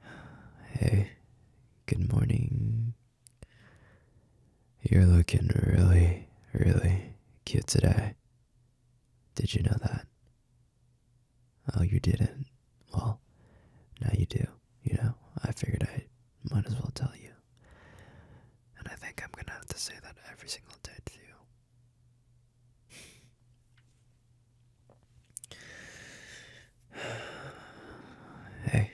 Hey, good morning. You're looking really, really cute today. Did you know that? Oh, you didn't. Well, now you do. You know, I figured I might as well tell you. And I think I'm gonna have to say that every single day to you hey.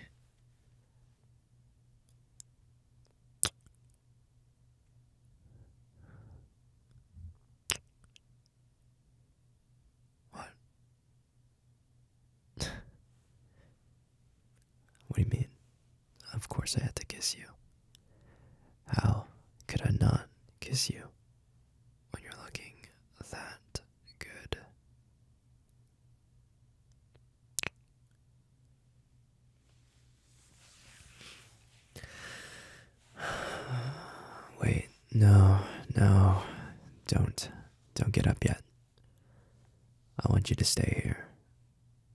What? what do you mean? Of course I had to kiss you. How could I not kiss you? when you're looking that good. Wait, no, no, don't, don't get up yet. I want you to stay here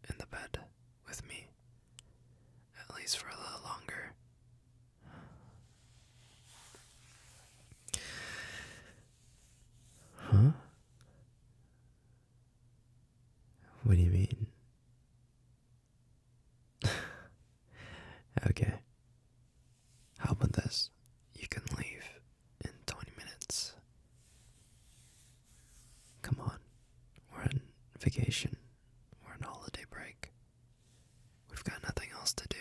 in the bed with me, at least for a little longer, Huh? What do you mean? okay. How about this? You can leave in 20 minutes. Come on. We're on vacation. We're on holiday break. We've got nothing else to do.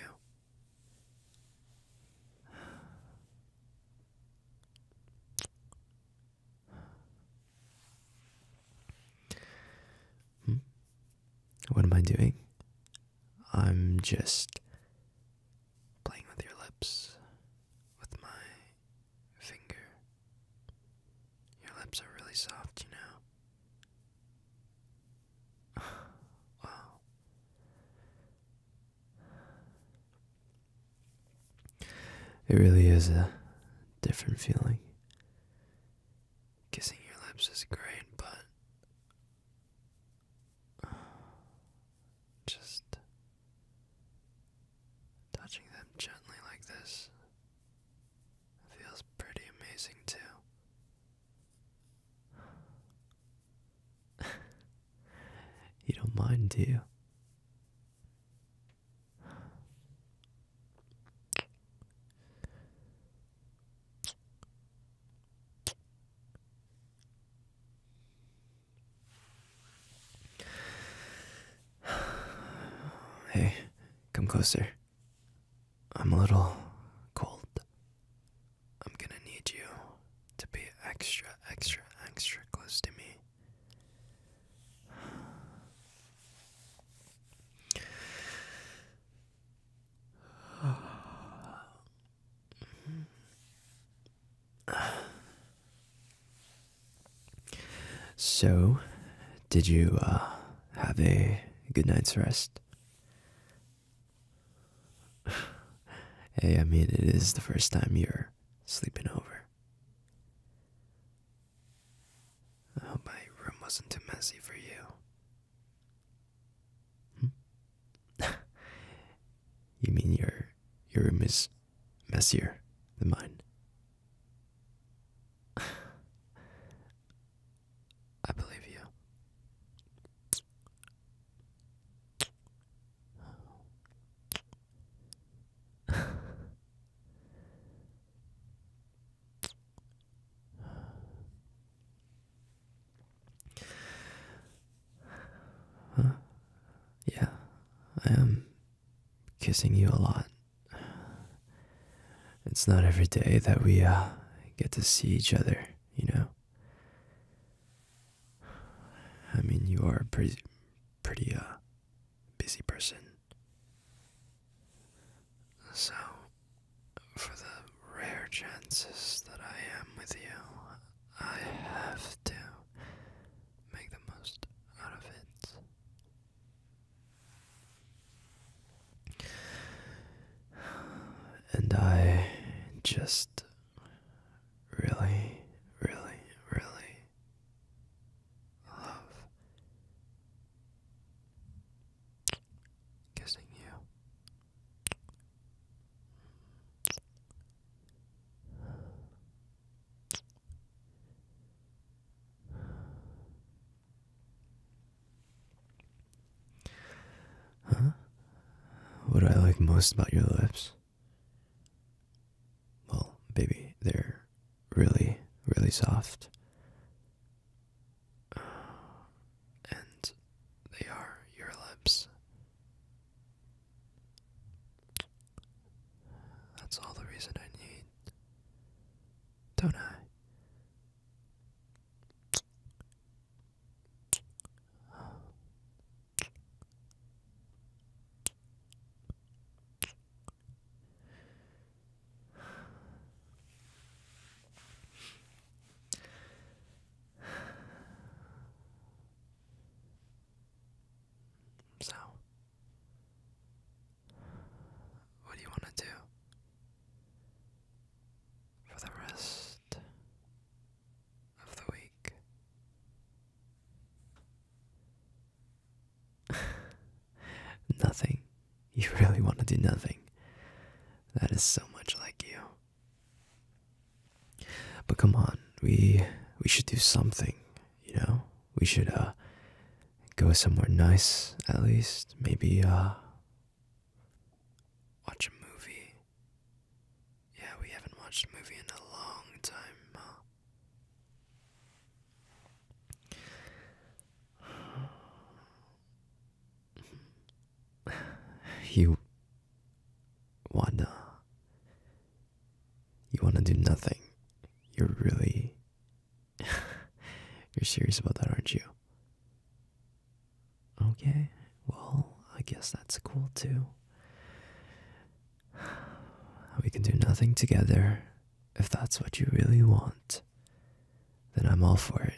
Hmm? What am I doing? I'm just playing with your lips with my finger. Your lips are really soft, you know. It really is a different feeling. Kissing your lips is great, but just touching them gently like this feels pretty amazing too. you don't mind, do you? Hey, come closer. I'm a little cold. I'm gonna need you to be extra, extra, extra close to me. So, did you uh, have a good night's rest? hey, I mean, it is the first time you're sleeping over. I hope my room wasn't too messy for you. Hmm? you mean your your room is messier than mine. I believe you. Yeah, I am kissing you a lot. It's not every day that we uh, get to see each other, you know. I mean, you are a pretty, pretty uh, busy person. So, for the rare chances that I am with you, I have to make the most out of it. And I just really, really, really love kissing you. What do I like most about your lips? Well, baby, they're really, really soft. And they are your lips. That's all the reason I need, don't I? So, what do you want to do for the rest of the week? nothing. You really want to do nothing. That is so much like you. But come on, we we should do something, you know? We should uh go somewhere nice at least. Maybe uh watch a movie. Yeah, we haven't watched a movie in a long time. Huh? You, Wanda, you want to do nothing. You're really. you're serious about that, aren't you? Okay, well, I guess that's cool too. We can do nothing together. If that's what you really want, then I'm all for it.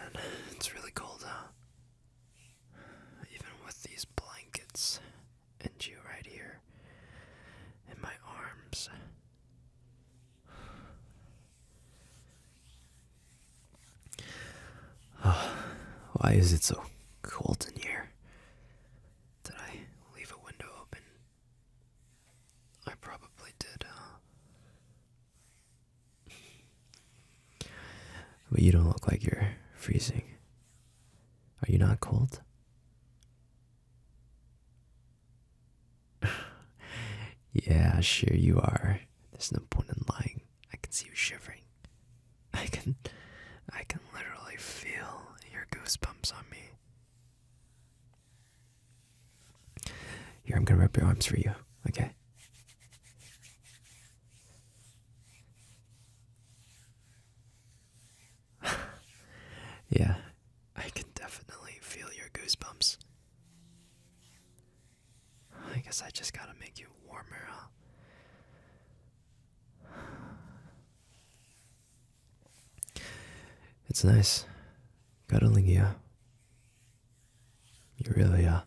it's really cold out. Even with these blankets and you right here in my arms. why is it so cold in here? Did I leave a window open? I probably did. Uh, but you don't look like you're freezing. Are you not cold? yeah, sure you are. There's no point in lying. I can see you shivering. I can I can literally feel your goosebumps on me. Here, I'm gonna wrap your arms for you, okay? yeah, I can definitely feel your goosebumps. I guess I just gotta make you warmer, huh? It's nice cuddling you. You really uh, are.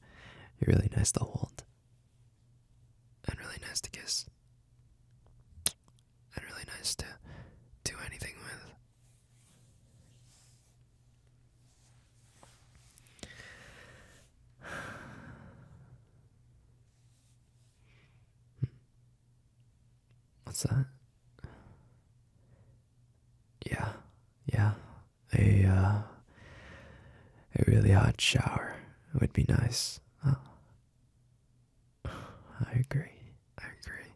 You're really nice to hold. And really nice to kiss. And really nice to do anything with. What's that? Yeah, yeah. A uh, a really hot shower would be nice. Oh. I agree. I agree.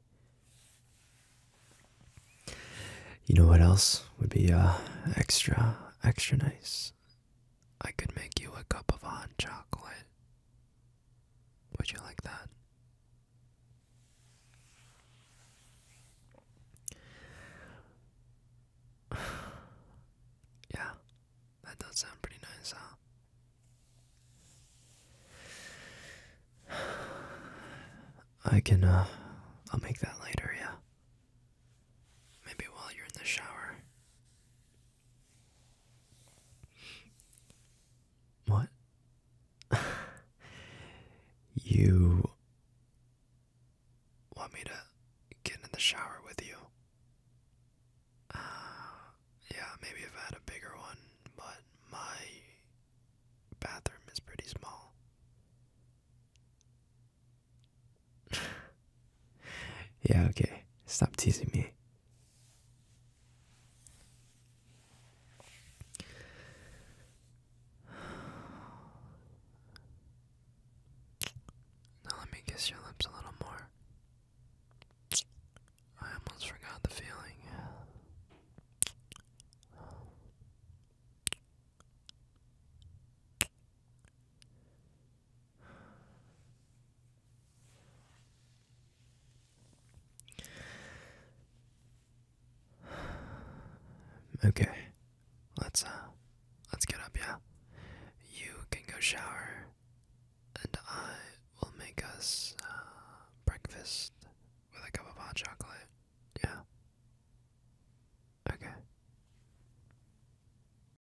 You know what else would be uh, extra extra nice? I could make you a cup of hot chocolate. Would you like that? yeah, that does sound pretty nice, huh? I can, uh, I'll make that later, yeah? Maybe while you're in the shower. What? you want me to get in the shower with you? Uh, yeah, maybe if I had a bigger one, but my bathroom is pretty small. yeah, okay. Stop teasing me. Now let me kiss your lips a little more. I almost forgot the feeling. Okay, let's uh, let's get up, yeah. You can go shower, and I will make us uh, breakfast with a cup of hot chocolate. Yeah. Okay.